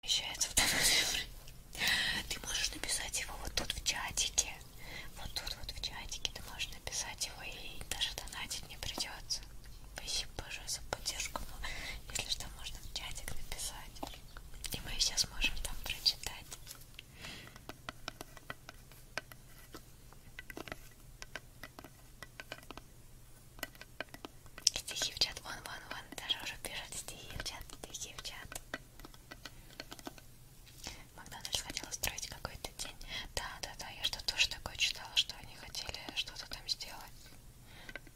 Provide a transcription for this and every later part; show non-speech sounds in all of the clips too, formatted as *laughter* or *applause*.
Вмещается в данный Ты можешь написать его вот тут в чатике. Вот тут вот в чатике ты можешь написать его и даже донатить не придется. Спасибо большое за поддержку. Но если что, можно в чатик написать. И мы все сможем там прочитать. Стихи в чат, вон, вон, вон, даже уже пишут стихи в чат, стихи в чат. Макдональдс хотел устроить какой-то день. Да, да, да, я что-то тоже такое читала, что они хотели что-то там сделать.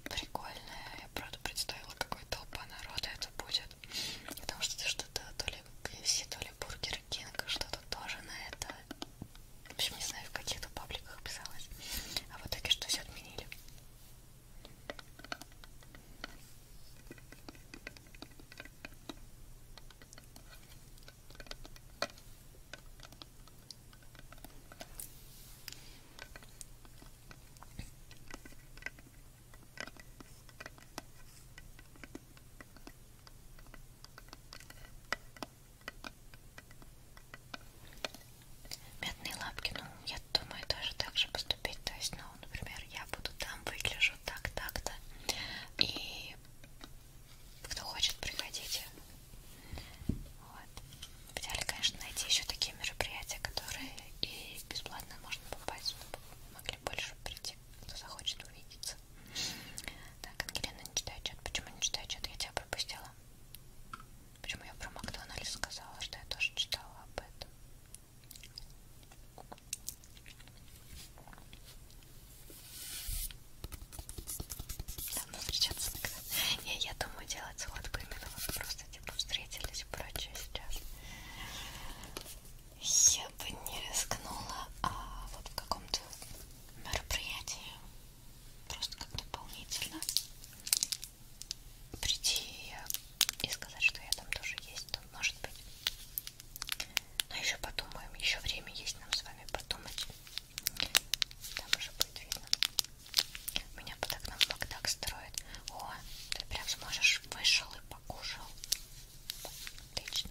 Прикольное. Я правда представила, какой толпа народа это будет. Потому что что-то то ли KFC, то ли Бургер Кинг, что-то тоже на это в общем, не знаю, в каких-то пабликах писалось. А в итоге что все отменили. Мятные лапки, ну, я думаю, тоже так же поступить. То есть, ну, например, я буду там, выгляжу так, так-то. И кто хочет, приходите. Вот. Хотели, конечно, найти еще такие мероприятия, которые и бесплатно можно попасть, чтобы могли при большем прийти, кто захочет увидеться. Так, Ангелина не читает чат. Почему не читает чат? Я тебя пропустила. Почему я про Макдональдс сказала, что я тоже читала об этом? Давно встречаться никогда. Я, я думаю делать сходку именно вот просто типа встретились и прочее сейчас. Я бы не рискнула, а вот в каком-то мероприятии просто как дополнительно прийти и сказать, что я там тоже есть, то может быть. Но еще подумаем, еще время есть нам с вами подумать. Там уже будет видно. Меня под окном Макдак строит. О, ты прям сможешь вышел и покушал. Отлично.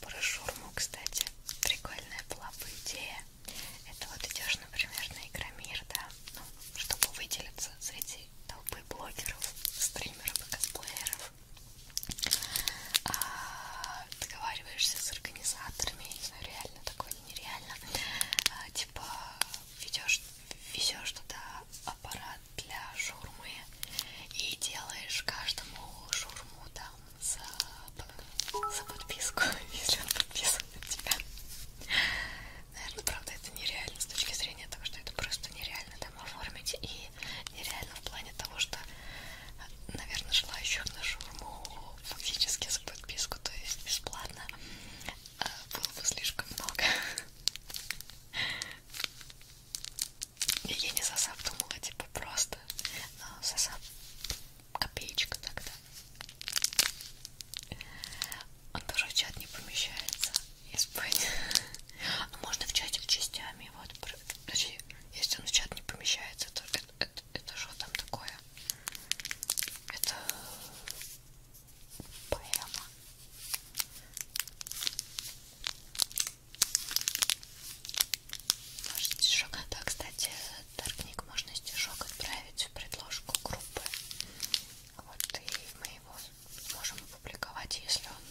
про шурму, кстати, прикольная была бы идея. Это вот идешь, например, на Игромир, да, ну, чтобы выделиться среди толпы блогеров, стримеров и косплееров. А, договариваешься с организаторами, я не знаю, реально такое или нереально. А, типа, ведешь, везешь туда аппарат для шурмы и делаешь каждому шурму там за, за подписку, *laughs* если он подписан на тебя. Наверное, правда, это нереально с точки зрения того, что это просто нереально там оформить и нереально в плане того, что, наверное, желающих на шурму фактически за подписку, то есть бесплатно, а, было бы слишком много. Я не сосап думала, типа просто но а, сосап копеечка тогда. Он тоже в чат не помещается. Испыть. Но а можно в чатик частями. Вот. Подожди, если он в чат не помещается, то это, это, это что там такое? Это поэма. Можно стишок, да, кстати, торгник можно стишок отправить в предложку группы. Вот и мы его можем опубликовать, если он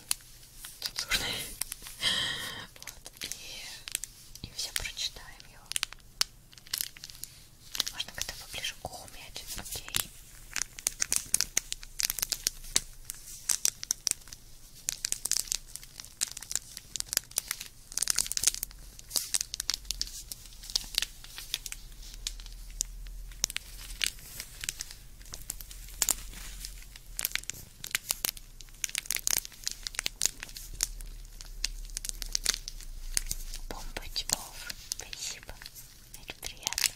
цензурный. *laughs* Вот, и, и все прочитаем его. Можно как-то поближе к уху мять, окей. Бомбочков, спасибо, это приятно.